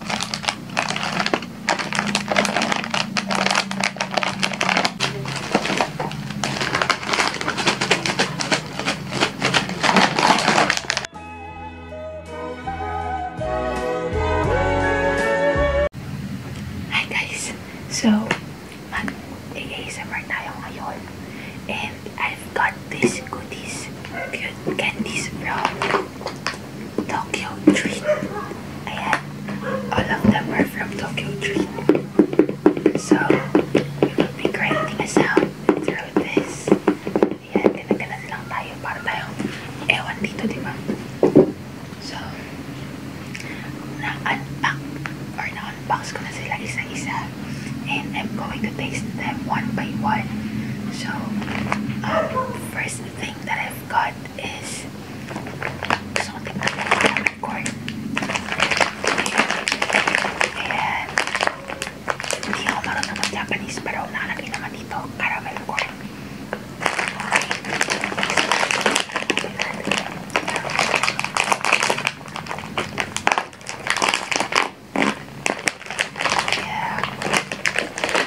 Hi guys! So, mag-ASMR tayo ngayon. And I've got these goodies, cute candies from Tokyo Treat. Ayan. All of them from Tokyo Treat. So, we will be grinding a sound through this. Ayan, ginaganan lang tayo para tayong ewan dito, di ba? So, na-unpack or na-unbox ko na I'm going to taste them one by one. So, um, first that I've got is something like a unicorn. And hindi ako marunong ng Japanese pero nakalagay naman dito, caramel corn. Yeah.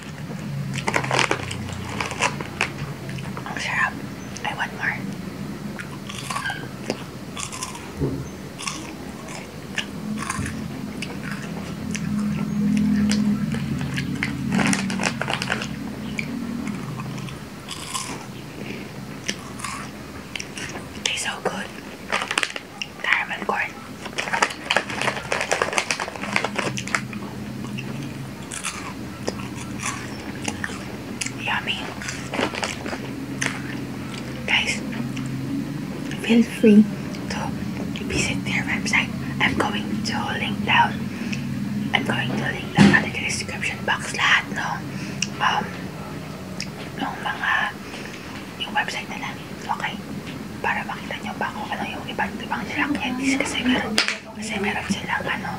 Oh, I want more. It so good. Caramel corn. Yummy. Guys, feel free to visit their website. I'm going to link down. I'm going to link down at the description box lahat ng no? um, ng mga yung website nila. Okay? Para makita nyo ba kung ano yung ibang ibang nila. Kaya this kasi meron Kasi meron silang ano,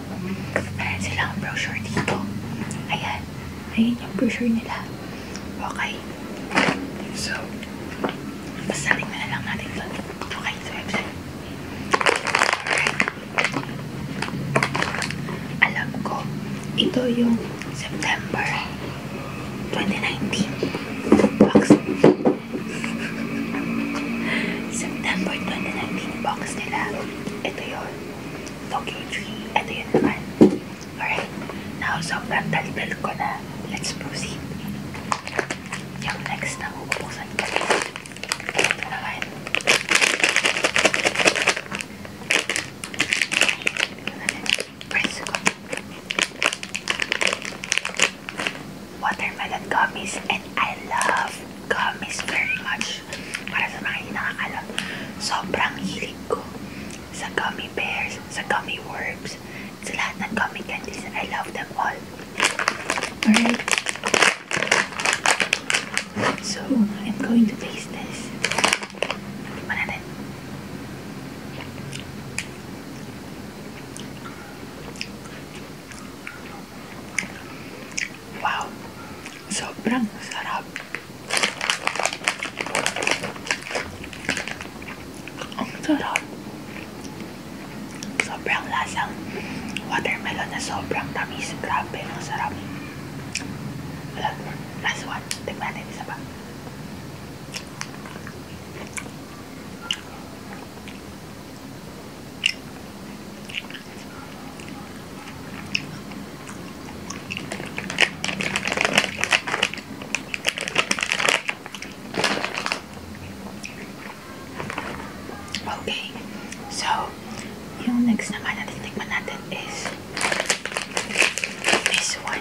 meron silang brochure dito. Ayan. Ayan yung brochure nila. Okay. So, basta tingnan na lang natin ito. Okay, sa website. Alright. Alam ko, ito yung September 2019. Box. September 2019 box nila. Ito yun. Tokyo Dream. Ito yun naman. Alright. Now, sobrang daldal ko na. Let's proceed. Yung next na bubuksan ko. Ito watermelon gummies and I love gummies very much. Para sa mga nakakalam, sobrang hilig sa gummy bears, sa gummy worms, sa lahat gummy candies. I love them all. Alright. So, I'm going to taste this. Tikman natin. Wow! Sobrang sarap! Ang sarap! Sobrang lasang watermelon na sobrang tamis. Grabe, ang sarap. Wala, last one. Tignan natin isa pa. Okay, so yung next naman na my natin is this one.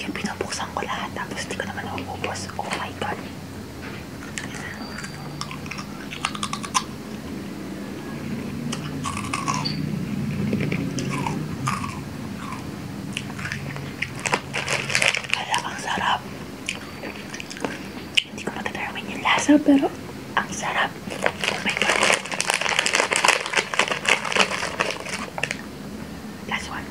Yung pinubuksan ko lahat tapos hindi ko naman naububos. Oh my God. Kala, ang sarap. Hindi ko matatarwin yung lasa pero ang sarap. Oh my God. That's one.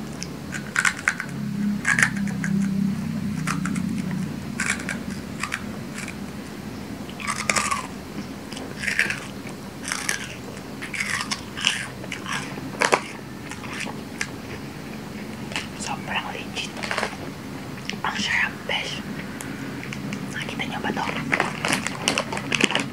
Sobrang legit. Ang sarap, besh. Nakita niyo ba to?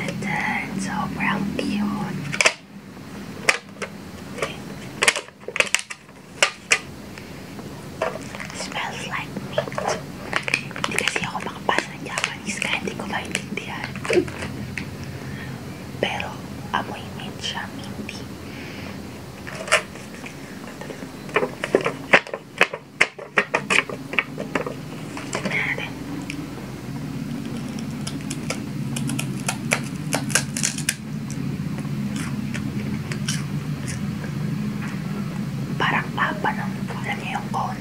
it's so brown cute. Smells like meat. Hindi kasi ako makapasa ng Japanese kaya hindi ko maintindihan. Pero amoy mint siya, minty. Tignan natin. Parang papa ng alam niyo yung cone.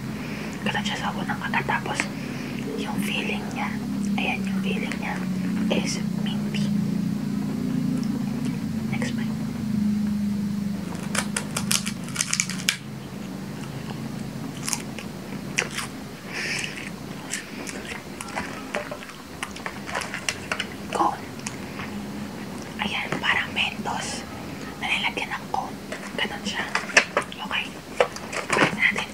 Kala siya sa unang kata. Tapos, yung feeling niya. Ayan yung feeling niya is Mindy. Next bite. Cone. Ayan, parang mentos na nilagyan ng cone. Ganon siya. Okay. Pwede natin.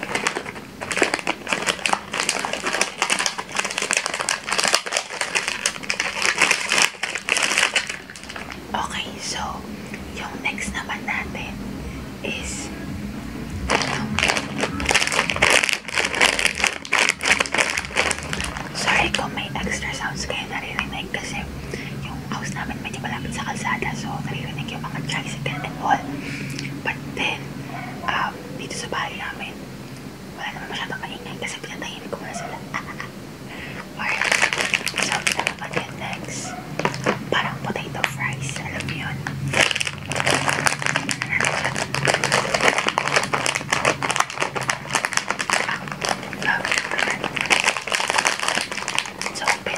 Okay, so, yung next naman natin is um, sorry kung may extra sounds kayo naririnig kasi yung house namin medyo malapit sa kalsada so naririnig yung mga tricycle and all. But then, um, dito sa bahay namin, wala naman masyadong maingay kasi pinatahimik ko muna sila. Alright. So, pinapapad yun next. Parang potato fries. Alam mo yun? It's open.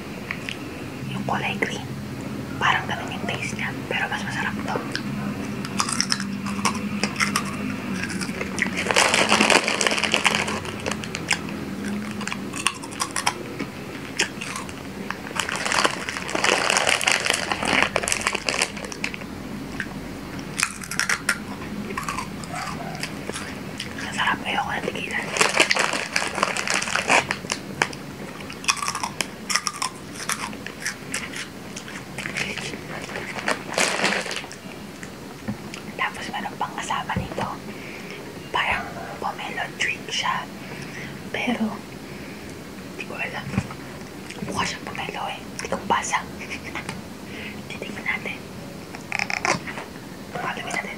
Yung kulay green. Parang ganun yung taste niya. Pero mas masarap to. Masarap. Ayoko na tigilan. Tapos meron pang kasama nito. Parang pomelo drink siya. Pero, hindi ko alam. Mukha siyang pomelo eh. Hindi kong basa. Titignan natin. Pagkabi natin.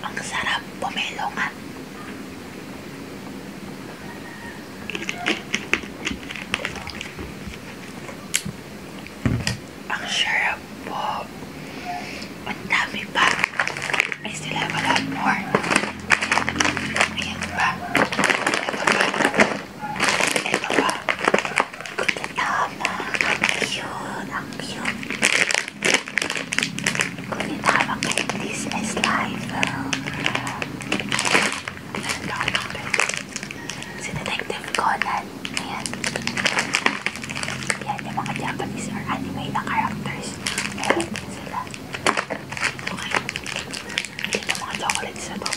Ang sarap pumelongan. Ang sarap po. Ang dami pa. Ay sila wala more. Ayan pa. Ito pa. Ito pa. Tama. Ang cute. Ang cute. Ngunit habang kayo this is life, um, si Detective Conan, ayan, ayan yung mga Japanese or anime na characters, meron din sila. Okay, ayan yung mga chocolates na to.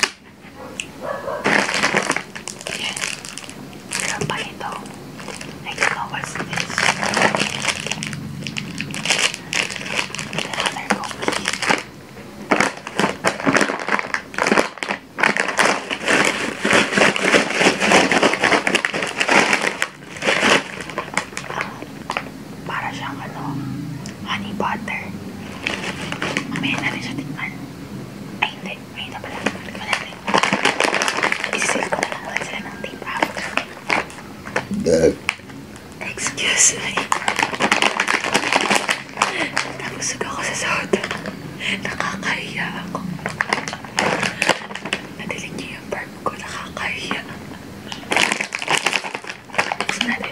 Ayan. Meron pa ito. I don't know what's this. Another cookie. Um, para siyang ano, honey butter. Mamaya na rin siya tikman. Ay, hindi. Ay, ito pala. Balik mo natin. Isisilip ko na lang ulit sila ng tape after. Excuse me. Natabusog ako sa soda. Nakakahiya ako. Nadilig niyo yung burp ko. Nakakahiya. Buksan natin.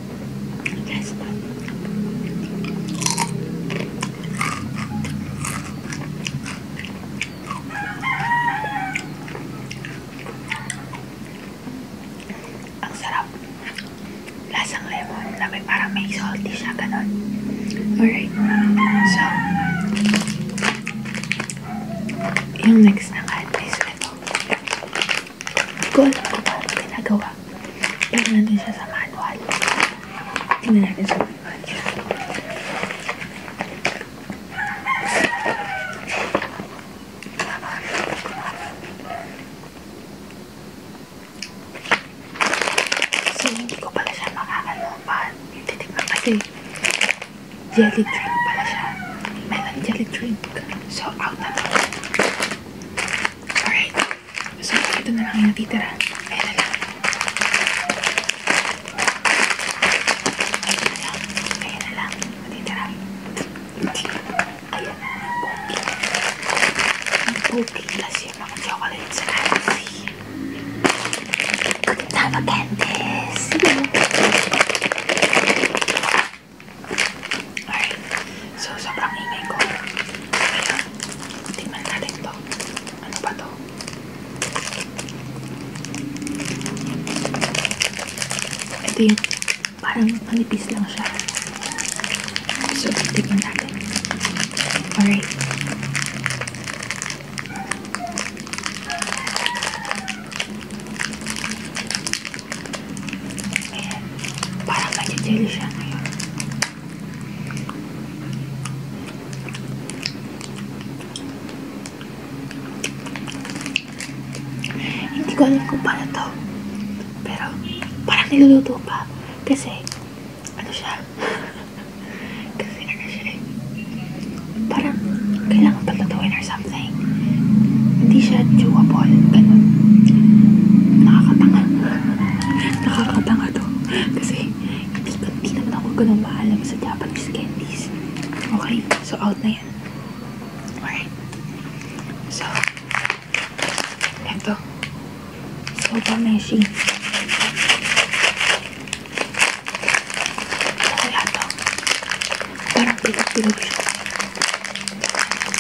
Guys, ang sarap. Lasang lemon na may parang may salty siya, ganun. Alright. So, yung next na kahit is ito. Hindi ko alam kung paano pinagawa. Tingnan din siya sa manual. Tingnan natin sa manual. So, hindi ko pala jelly drink pala Melon jelly drink. So, out na Alright. So, ito na lang natitira. Ayan na lang. Ayan na lang. Natitira. Ayan na. Pogi kasi yung mga chocolate sa Nancy. Tama, Candice. Alright. So, sobrang ingay ko. Kaya, tingnan natin to. Ano ba to? Ito yung parang manipis lang siya. So, tingnan natin. Alright. Ayan. Parang nag-jelly siya ngayon. Hindi ko alam kung paano to. Pero, parang niluluto pa. Kasi, ano siya? Kasi ano siya eh. Parang, kailangan patatuin or something. Hindi siya chewable. Ganun. Nakakatanga. Nakakatanga to. Kasi, hindi, hindi naman ako ganun maalam sa Japanese candies. Okay? So, out na yan. Alright. So, eto. Soba meshi. Ano yan to? Parang pilog-pilog siya.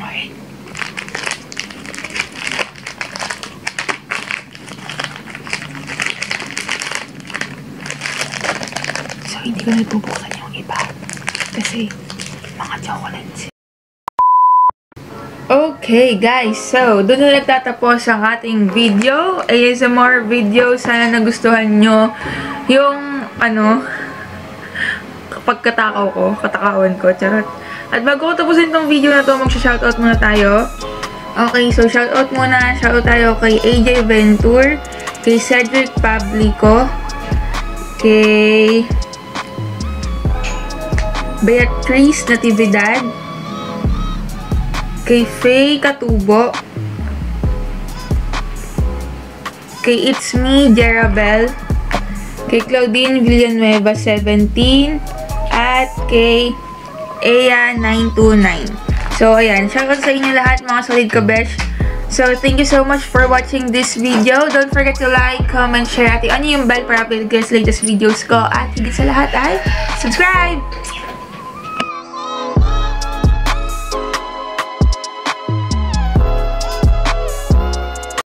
Alright. So, hindi ko nagbubuksan yung iba. Kasi, mga chocolates. Okay guys, so doon na nagtatapos ang ating video. ASMR video. Sana nagustuhan nyo yung ano, pagkatakaw ko, katakawan ko, charot. At bago ko tapusin tong video na to, magsha-shoutout muna tayo. Okay, so shoutout muna, shoutout tayo kay AJ Ventur, kay Cedric Pablico, kay Beatrice Natividad, kay Faye Katubo, kay It's Me Jerabel, kay Claudine Villanueva 17 at kay Aya 929. So ayan, shoutout sa inyo lahat mga solid kabesh. So, thank you so much for watching this video. Don't forget to like, comment, share, at ano yung bell para update kayo sa latest videos ko. At higit sa lahat ay subscribe!